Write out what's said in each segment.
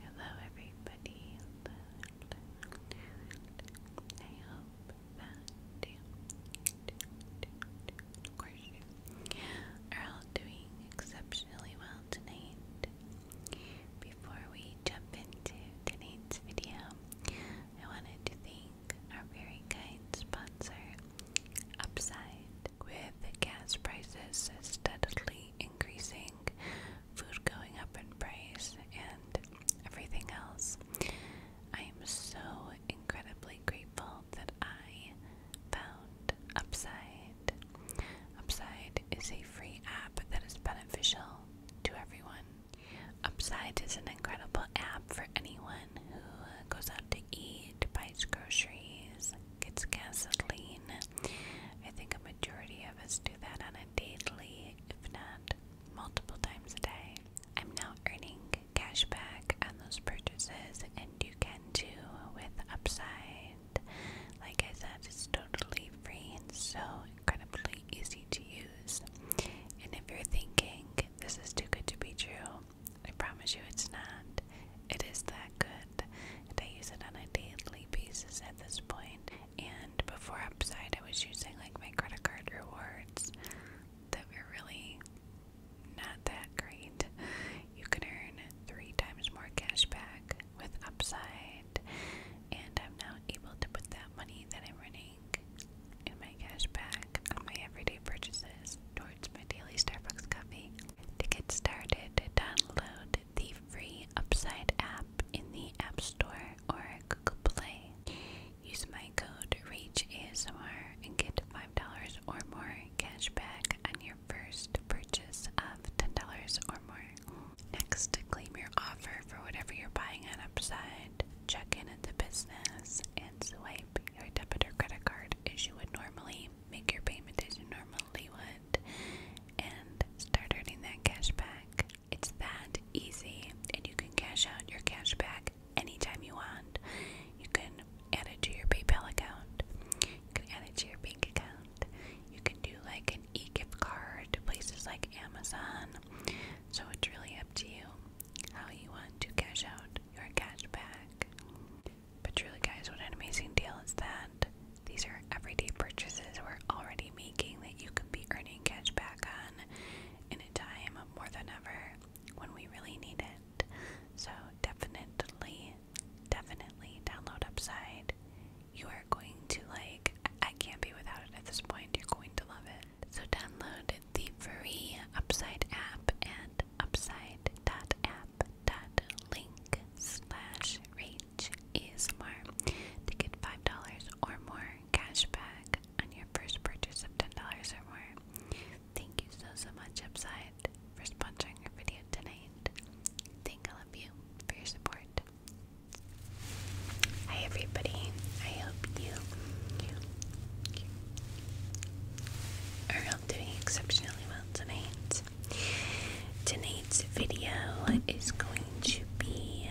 Hello, everybody. I hope that you, you are all doing exceptionally well tonight. Before we jump into tonight's video, I wanted to thank our very kind sponsor, upside. With gas prices steadily increasing, food going up in price, and everything else, I am so incredibly grateful that I found Upside. Upside is a free app that is beneficial to everyone. Upside is an incredible app for anyone who goes out to eat, buys groceries, it's gasoline. I think a majority of us do that on a daily, if not multiple times a day. I'm now earning cash back on those purchases, and you can too with Upside. Like I said, it's totally free and so incredibly easy to use. And if you're thinking this is too good to be true, I promise you it's not. It is that good. And I use it on a daily basis at this point. And before Upside, I was using like my credit card rewards that were really not that great. You can earn three times more cash back with Upside. And I'm now able to put that money that I'm running in my cash back on my everyday purchases towards my daily Starbucks coffee. To get started, download the free Upside app in the App Store or Google Play. Use my code ReachASMR and get $5 or more cash back on your first purchase of $10 or more. Next, claim your offer for whatever you're buying on Upside, check in at the business, and swipe your debit or credit card as you would normally make your payment as you normally would, and start earning that cash back. It's that easy, and you can cash out your cash back anytime you want. You can add it to your PayPal account, you can add it to your bank account, you can do like an e gift card to places like Amazon. So it's really up to you how you want to cash out your cash back. But really guys, what an amazing deal is that. These are everyday purchases we're already making that you could be earning cash back on in a time more than ever when we really need it. So definitely, definitely download Upside. You are going to like, I can't be without it at this point. You're going to love it. So download the free Upside app and at upside.app.link slash reach ASMR to get $5 or more cash back on your first purchase of $10 or more. Thank you so, so much, Upside, for sponsoring our video tonight. Thank all of you for your support. Hi, everybody. I hope you, I'm doing exceptionally well tonight. Tonight's video is going to be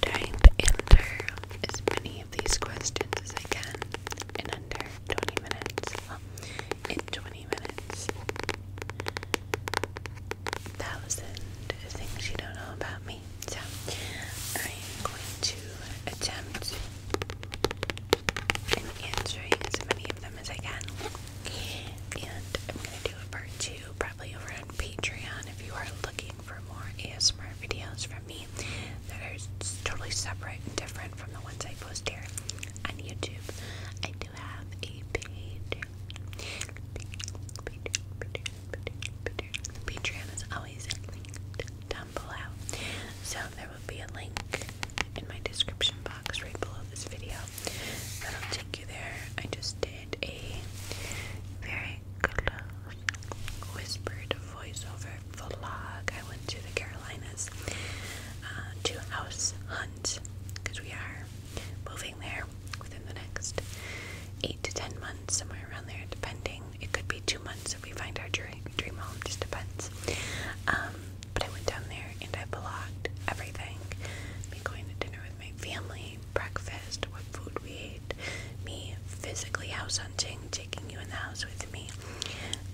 type answer as many of these questions as I can in under 20 minutes. in 20 minutes thousand things you don't know about me. So I am going to attempt in answering as many of them as I can. And I'm gonna do a part two probably over on Patreon if you are looking for more ASMR videos from me that are totally separate and different from the ones I post here on YouTube. I do have a page Patreon is always down below. So there will be a link in my description box right below this video. That'll take you there. I just did a very whispered voiceover vlog. I went to the Carolinas uh, to house hunt because we are moving there within the next eight to ten months, somewhere around there, depending. It could be two months if we find our dream, dream home, just depends. Um, but I went down there and I blogged everything. Me going to dinner with my family, breakfast, what food we ate, me physically house hunting, taking you in the house with me.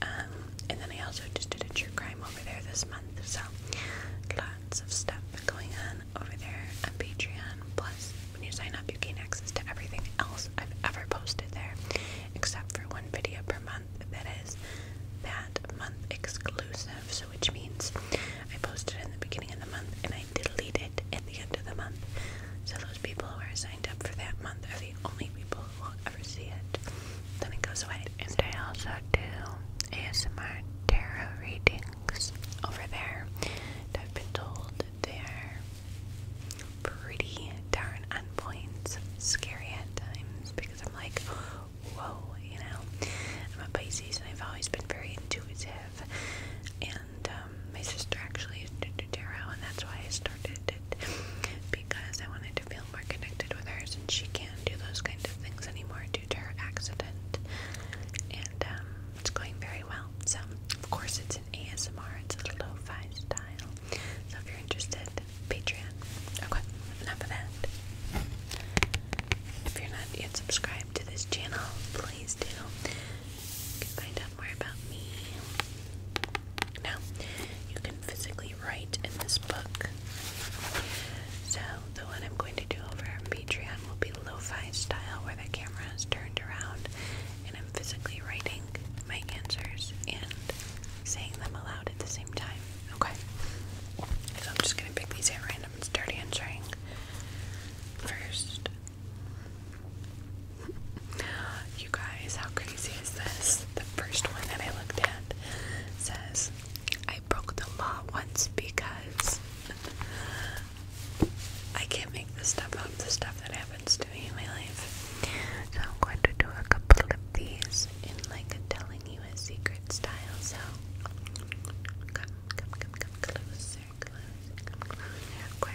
Um, and then I also just did a true crime over there this month, so lots of stuff going on over there on Patreon. Plus, when you sign up, you gain access to everything else I've ever posted there, except for one video per month that is that month exclusive. So, which means I posted in the beginning of the month and I delete it at the end of the month. So, those people who are signed up for that month are the only people who will ever see it. Then it goes away. And I also do ASMR tarot reading over there. I've been told they're pretty darn on scary at times because I'm like, whoa, you know. I'm a Pisces and I've always been very intuitive. And um, my sister actually is a tarot, and that's why I started it because I wanted to feel more connected with her. and she can't do those kind of things anymore, computer accident, and um, it's going very well. So, of course, it's an ASMR, it's a lo fi style. So, if you're interested, Patreon. Okay, enough of that. If you're not yet subscribed to this channel, please do. can find out more about me. Now, you can physically write in this book. So, the one I'm going to do over on Patreon will be lo-fi style where the camera is turned around and I'm physically writing my answers and saying them aloud at the same time. Okay. So I'm just gonna pick these at random and start answering first. You guys, how crazy is this? The first one that I looked at says, I broke the law once because I can't make the stuff up, the stuff that happens to me in my life. So I'm going to do a couple of these in like a telling you a secret style. So come, come, come, come closer, closer. Okay.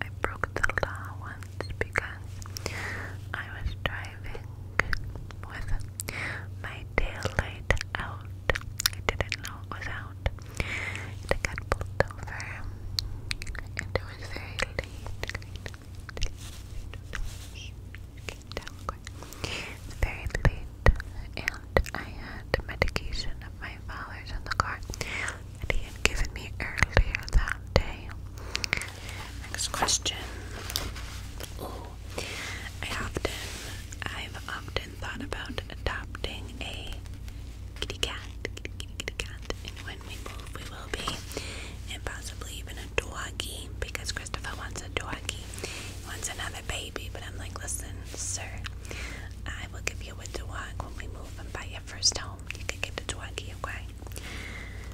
I broke the law once because I was driving with my tail light out. I didn't know it was out. And I pulled over. And it was very late. Very late. And I had medication of my father's in the car that he had given me earlier that day. Next question. I often, I've often thought about adopting a kitty cat, kitty, kitty, kitty cat, and when we move, we will be, and possibly even a doggy, because Christopher wants a doggy, he wants another baby, but I'm like, listen, sir, I will give you a dog when we move and buy your first home. You can get the doggy, okay?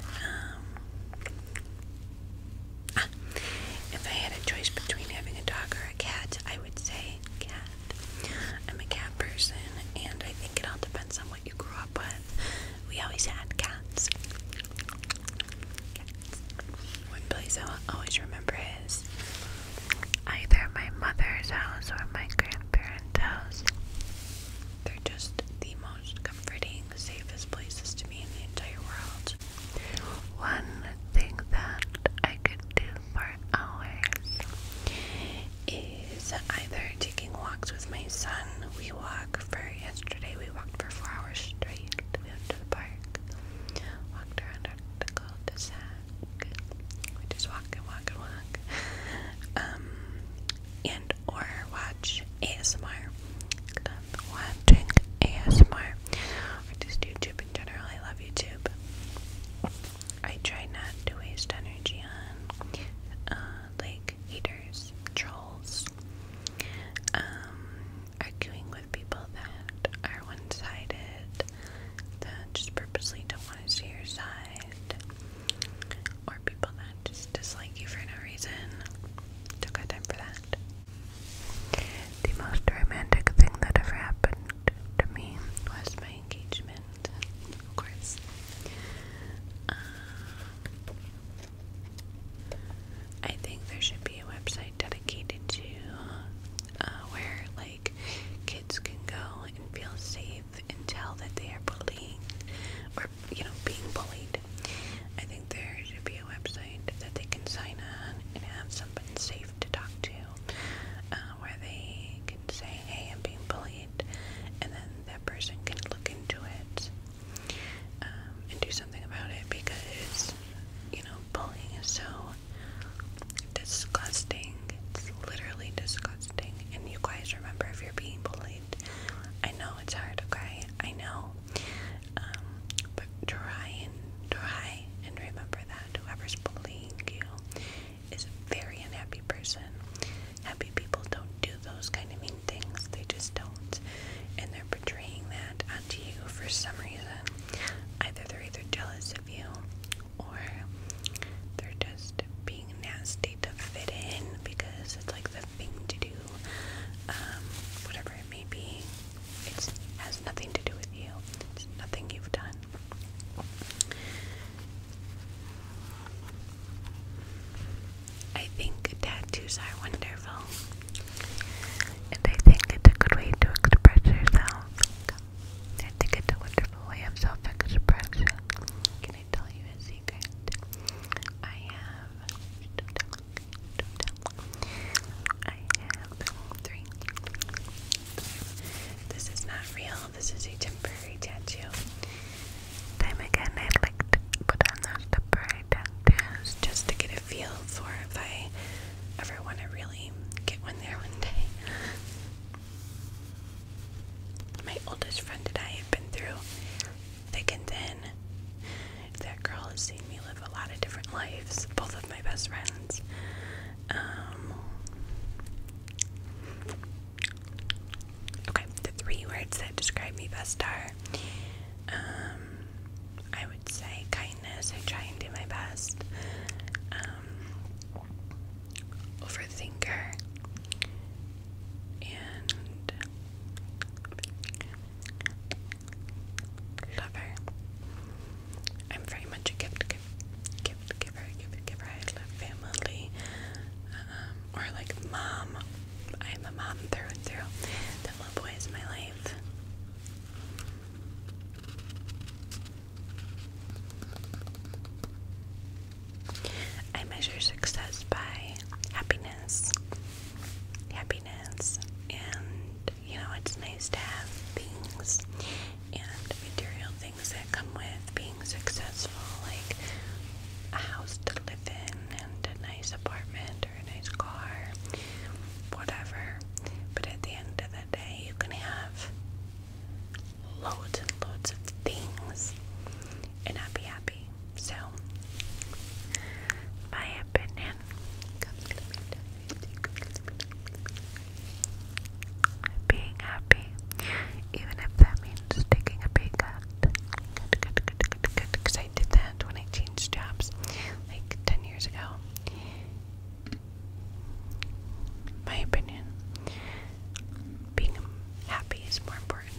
Um, if I had a choice between having a dog or a cat, I would say cat. I'm a cat person, and I think it all depends on what you grew up with. We always had cats. One place I will always remember is either my mother's house or my grandparents' house. They're just the most comforting, safest places to be in the entire world. One thing that I could do for hours is either taking walks with my son. We walk for yesterday, we walked for four hours straight. to the park, walked around the cul-de-sac. We just walk and walk and walk. Um, and or watch ASMR watching ASMR or just YouTube in general. I love YouTube. I try not to waste energy on uh, like haters, trolls, um, arguing with people that are one-sided, that just purposely don't want to see your side, or people that just dislike you for no reason. Took our time for that. The most romantic thing that ever happened to me was my engagement, of course. Uh, I think there should be a website dedicated to uh, where like kids can go and feel safe and tell that they are bullying or you know being bullied I think there should be a website that they can sign on and have someone safe to talk to, uh, where they can say, "Hey, I'm being bullied," and then that person can look into it um, and do something about it because you know bullying is so disgusting. It's literally disgusting. And you guys remember if you're being bullied. I know it's hard, okay? I know. Um, but try and try and remember that whoever's bullying you is a very unhappy person. Happy people don't do those kind of mean things. They just don't. And they're portraying that onto you for some reason. Either they're either jealous of you or they're just being nasty to fit in because it's like the thing to do. Um, whatever it may be. It has nothing to do with you. It's nothing you've done. I think tattoos are wonderful. And I think it's a good way to express yourself. it's a wonderful way of self expression. Can I tell you a secret? I have. I have three. This is not real, this is a temporary tattoo. Time again, I'd like to put on those temporary tattoos just to get a feel for if I ever want to really get one there one day. My oldest friend and I have been through thick and thin. That girl has seen me live a lot of different lives, both of my best friends. Um, okay, the three words that describe me best are um, I would say kindness. I try and do my best. Um, overthinker. And lover. I'm very much a gift, gift, gift giver, gift giver. I love family, um, or like mom. I'm a mom through and through. little boy is my life. I measure success by happiness happiness. and you know, it's nice to have things and material things that come with being successful, like a house to live in, and a nice apartment, or a nice car, whatever. But at the end of the day, you can have loads and loads of things and not be happy. So, my opinion. Being happy, even if that means taking a pay cut. Because I did that when jobs like 10 years ago. My opinion being happy is more important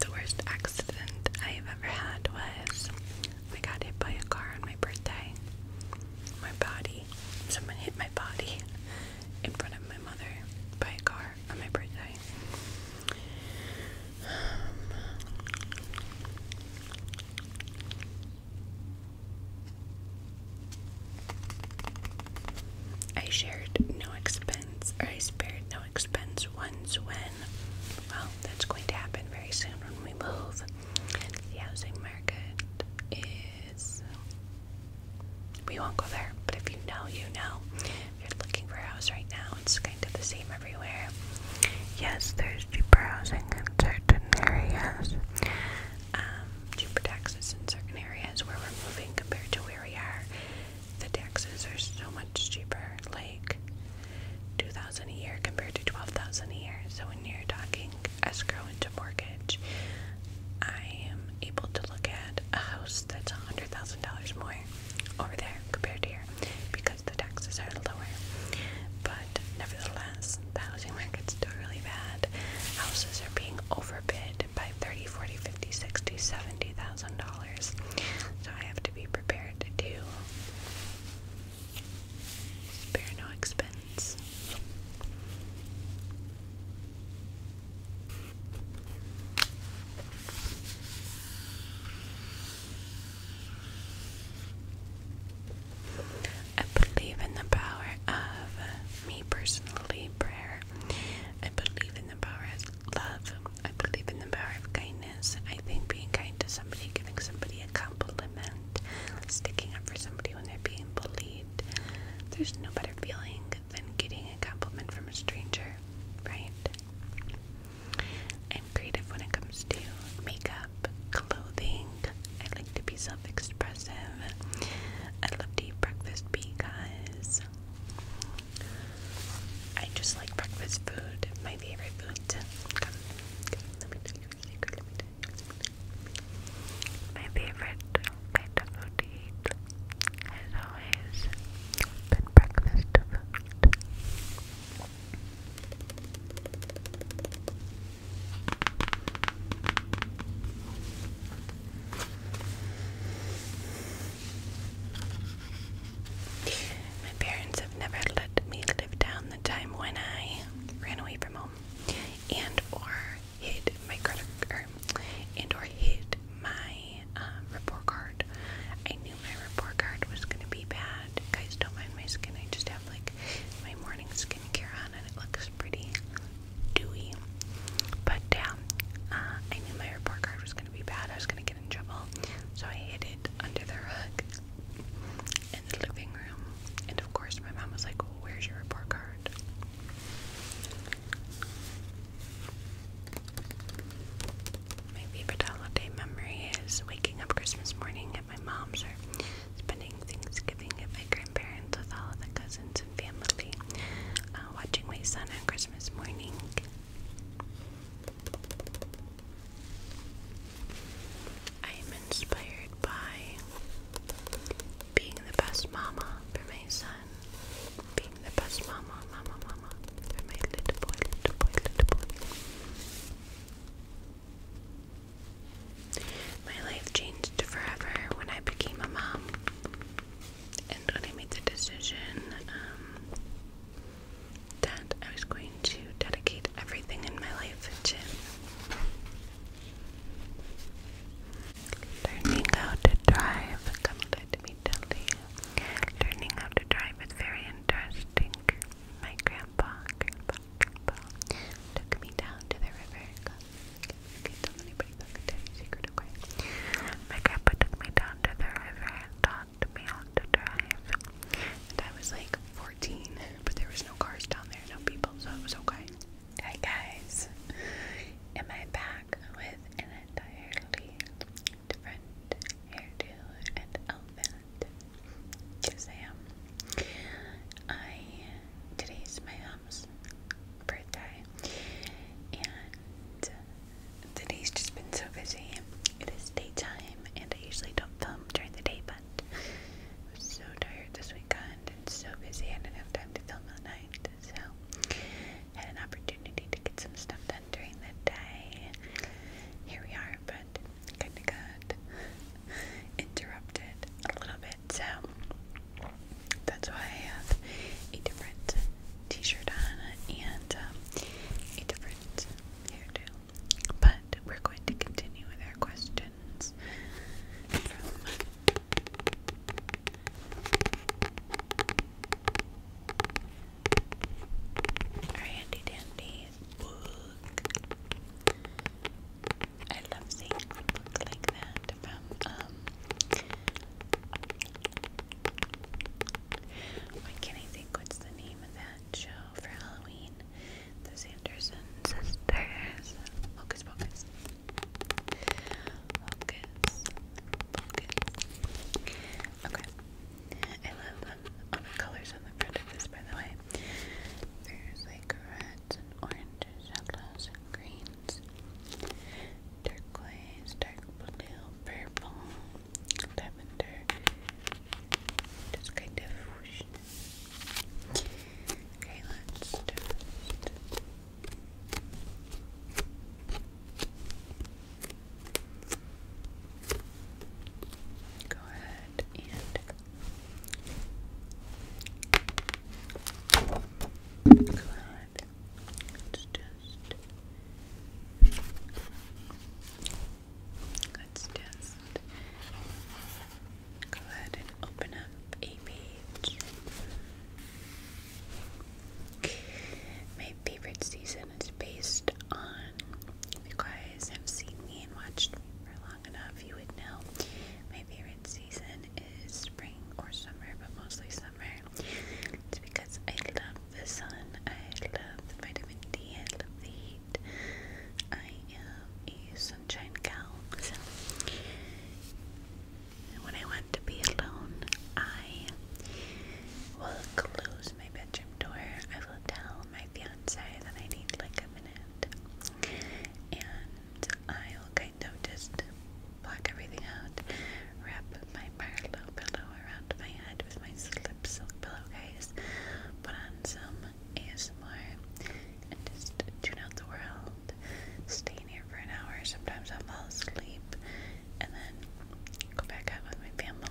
the worst accident I've ever had was I got hit by a car on my birthday. My body, someone hit my body in front of my mother by a car on my birthday. Um, I shared no expense, I spared no expense once when, well, that's going to happen very soon when we move. The housing market is, we won't go there, but if you know, you know you're looking for a house right now, it's kind of the same everywhere. Yes, there's cheaper housing in certain areas, um, cheaper taxes in certain areas where we're moving compared to where we are. The taxes are so much cheaper, like two thousand a year compared to twelve thousand a year. So when you're talking escrow into mortgage, I am able to look at a house that's a hundred thousand dollars more over there compared to here because the taxes are lower. But nevertheless, the housing market's still really bad. Houses are being overbid by 30, 40, 50, 60, 70,000 dollars. So I have to be prepared to do spare no expense. I believe in the power of me personally, prayer. I believe in the power of love. I believe in the power of kindness. I think being kind to somebody, giving somebody a compliment, sticking up for somebody when they're being bullied. There's no better feeling than getting a compliment from a stranger, right? I'm creative when it comes to makeup, clothing. I like to be self expressive. I love to eat breakfast because I just like breakfast food. My favorite food. let me tell you a secret. My favorite kind food as always, good breakfast food. My parents have never let me live down the time when I ran away from home and or hid my credit card and or hit my um, report card. I knew my report card was gonna be bad. Guys, don't mind my skin. I just have like my morning skincare on, and it looks pretty dewy. But um, I knew my report card was gonna be bad. I was gonna get in trouble, so I hid it under the rug in the living room. And of course, my mom was like, well, "Where's your report card?" My favorite holiday memory is waking up Christmas morning at my mom's or spending Thanksgiving at my grandparents with all of the cousins and family, uh, watching my son on Christmas morning. I am inspired by being the best mama for my son being the best mama, mama, mama for my little boy, little boy, little boy. My life changed forever when I became a mom and when I made the decision um, that I was going to dedicate everything in my life to Learning how to drive, Learning how to drive is very interesting. My grandpa, grandpa, grandpa took me down to the river. Okay, do anybody talk to secret, okay? My grandpa took me down to the river and taught me how to drive. And I was like 14, but there was no cars down there, no people, so it was okay. Hi guys, am I back with entirely different hairdo and outfit because I am. I today's my mom's birthday, and today's just been so busy. It is daytime, and I usually don't film during the day, but I am so tired this weekend and so busy. I didn't have time to film at night so had an opportunity to get some stuff done during the day. Here we are, but kinda got interrupted a little bit, so that's why I have a different t-shirt on and um, a different hairdo. But we're going to continue with our questions our handy dandy book. I love seeing a book like that from um why can't I think what's the name of that show for Halloween? The Sanderson sisters. Hocus Pocus. Focus. Focus. Okay. I love them um, all the colors on the front of this by the way. There's like reds oranges, yellows and greens. Turquoise, dark blue, purple, lavender. Just kind of Okay, let's Go ahead and go ahead. Let's just let's just go ahead and open up a page. My favorite season is based on, if you guys have seen me and watched me for long enough, you would know. My favorite season is spring or summer, but mostly summer. It's because I love the sun, I love the vitamin D, I love the heat. I am a sunshine gal, and when I want to be alone, I will close my bedroom door. I will tell my fiance that I need like a minute. And I will kind of just block everything out, wrap my Marlowe pillow around my head with my slip silk pillowcase, put on some ASMR, and just tune out the world staying here for an hour. Sometimes I'll fall asleep and then go back out with my family.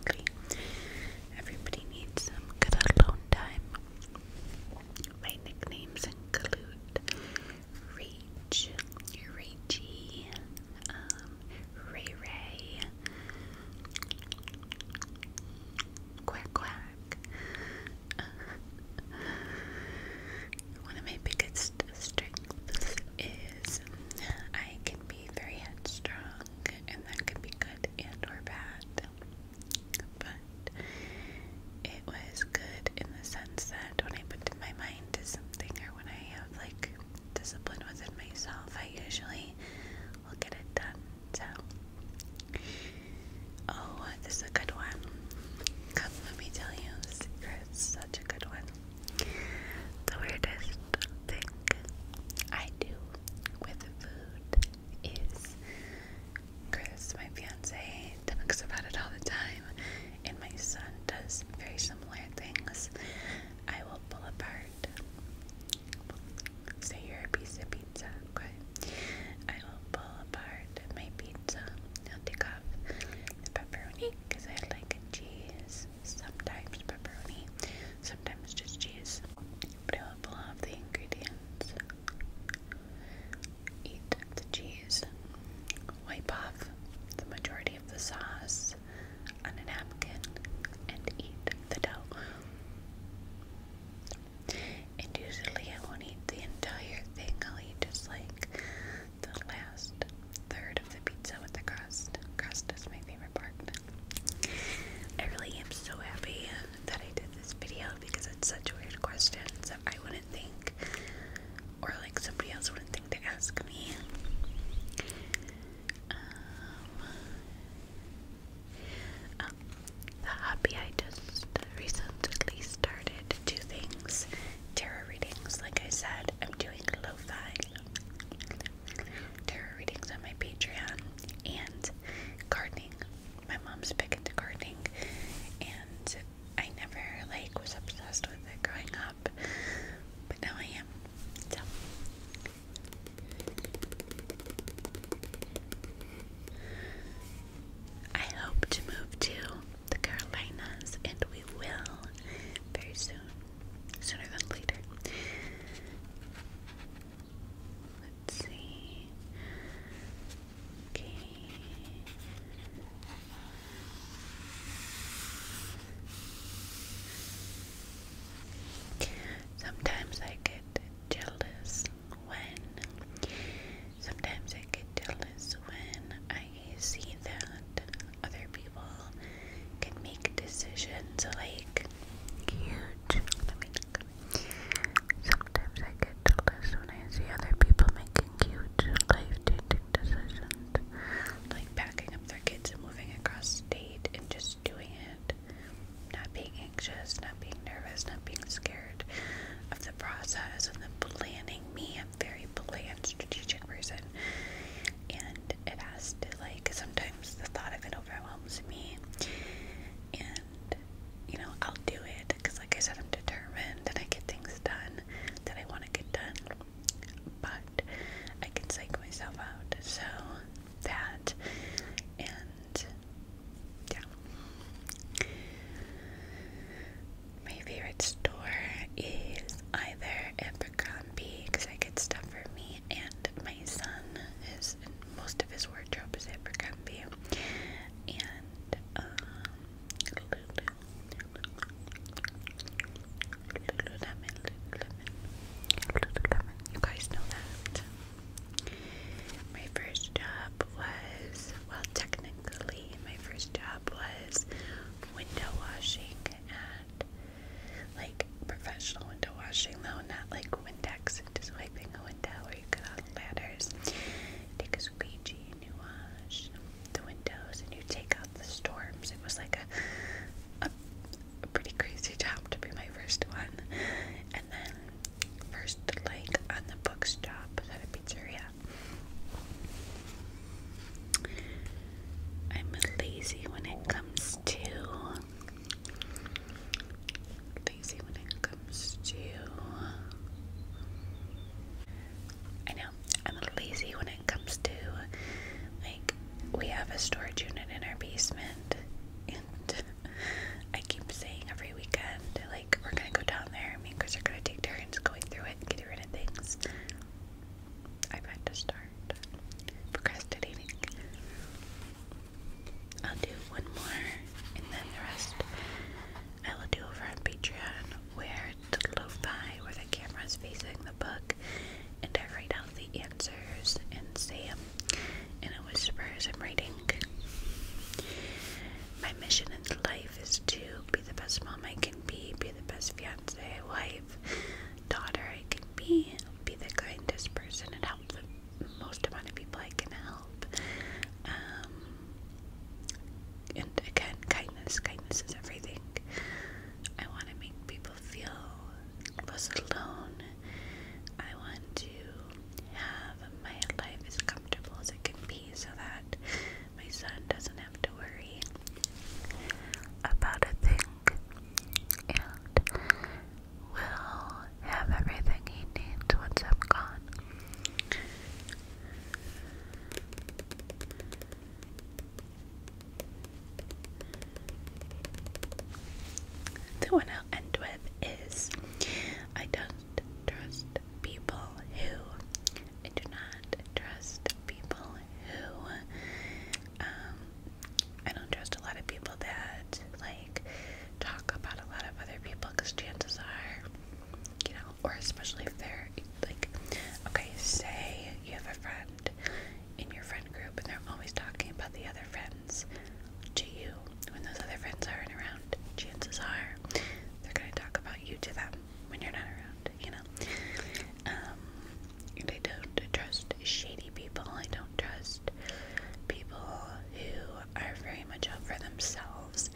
Everybody needs some good alone time. My nicknames include Reach, Reachy, um, Ray Ray, Quack Quack. one of my biggest strengths is I can be very headstrong, and that can be good and or bad. But it was good in the sense that when I put in my mind to something or when I have like discipline within myself, I usually will get it done. So, oh, this is a good one. Come, let me tell you, secrets. Such a good one. The weirdest thing I do with food is Chris, my fiance, talks about it all the time, and my son does very similar things. I will pull apart, say you're a piece of pizza, okay? I will pull apart my pizza. i take off the pepperoni, because I like cheese, sometimes pepperoni, sometimes just cheese. But I pull off the ingredients, eat the cheese, wipe off the majority of the sauce on a napkin, and eat the dough. And usually I won't eat the entire thing, I'll eat just like the last third of the pizza with the crust. Crust is my favorite part. I really am so happy that I did this video because it's such a weird question that I wouldn't think, or like somebody else wouldn't think to ask me. Um, oh, the hobby I just recently started two things tarot readings, like I said. I'm doing lo-fi tarot readings on my Patreon and gardening. My mom's big into gardening, and I never like was obsessed with it growing up, but now I am. I hope to move to the Carolinas, and we will very soon, sooner than later. Let's see. Okay. Sometimes I get jealous when sometimes I get jealous when I I see that other people can make decisions like cute. Sometimes I get jealous when I see other people making huge life-changing decisions, like packing up their kids and moving across state and just doing it, not being anxious, not being nervous, not being scared of the process and the planning. Me, very planned, strategic person, and it has to like sometimes the thought of it overwhelms me, and you know I'll do it because, like I said, I'm determined and I get things done that I want to get done, but I can psych myself out. So that and. Yeah. My favorite store is either Abercrombie because I get stuff for me and my son. Is most of his wardrobe is Abercrombie, and um, You guys know that. My first job was well, technically, my first job was window washing and like professional window washing though, not like Windex and just wiping a window where you get on ladders. Take a squeegee and you wash the windows and you take out the storms. It was like a, a, a pretty crazy job to be my first one. And then first like on the bookstop at a pizzeria. I'm lazy when it comes to lazy when it comes to I know I'm lazy when it comes to like we have a storage unit in our basement and I keep saying every weekend like we're gonna go down there me and Chris are gonna take turns going through it and getting things. I've had to start procrastinating. I'll do one more and then the rest I will do over on Patreon where the lo-fi where the camera's facing the book and I write out the answers and say them in a whisper as I'm writing. My mission in life is to be the best mom I can be, be the best fiance, wife, daughter I can be, be the kindest person and help the most amount of people I can help. Um, and again, kindness, kindness is everything. I want to make people feel less alone. I want to have my life as comfortable as it can be so that my son doesn't have to worry about a thing and will have everything he needs once I'm gone. The one i end with is I don't trust people who I do not trust people who, um, I don't trust a lot of people that like talk about a lot of other people because chances are, you know, or especially if they're like, okay, say you have a friend in your friend group and they're always talking about the other friends to you when those other friends aren't around. Chances are they're going to talk about you to them when you're not around, you know. Um, and I don't trust shady people. I don't trust people who are very much out for themselves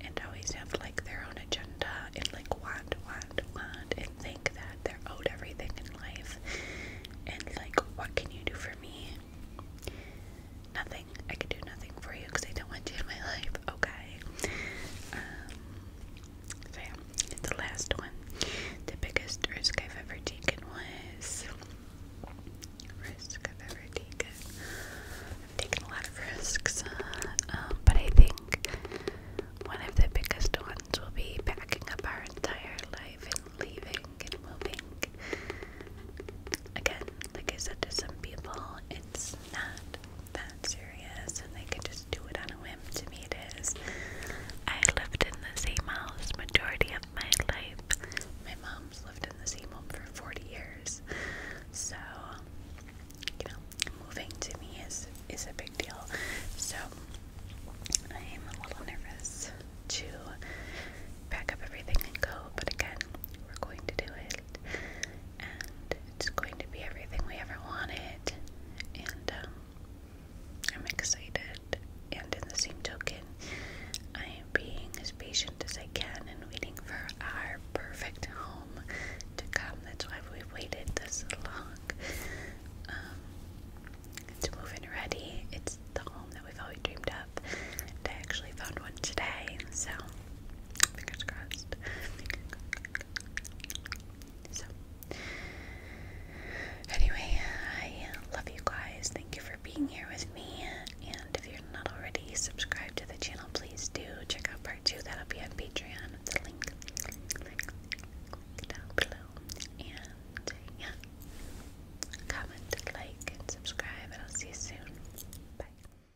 and always have like their own agenda and like want, want, want, and think that they're owed everything in life. And like, what can you do for me? Nothing. I can do nothing for you because I don't want you in my life. Okay. Um, so the last one. The biggest risk I've ever taken was risk I've ever taken. I've taken a lot of risks, uh, um, but I think one of the biggest ones will be packing up our entire life and leaving and moving. Again, like I said to some people, it's not that serious and they could just do it on a whim. To me, it is. I lived in the same house majority of my life. My mom's lived in the same home for 40 years. So, you know, moving to me is is a big deal. So, I am a little nervous to pack up everything and go, but again, we're going to do it. And it's going to be everything we ever wanted, and um, I'm excited. And in the same token, I am being as patient as I can and waiting for our perfect home to come. That's why we've waited this long. Um, it's moving ready. It's the home that we've always dreamed of. And I actually found one today, so Fingers crossed. So, anyway, I love you guys. Thank you for being here with me. And if you're not already subscribed to the channel, please do check out part two. That'll be on Patreon. The link, link, down below. And yeah, comment, like, subscribe. I'll see you soon. Bye.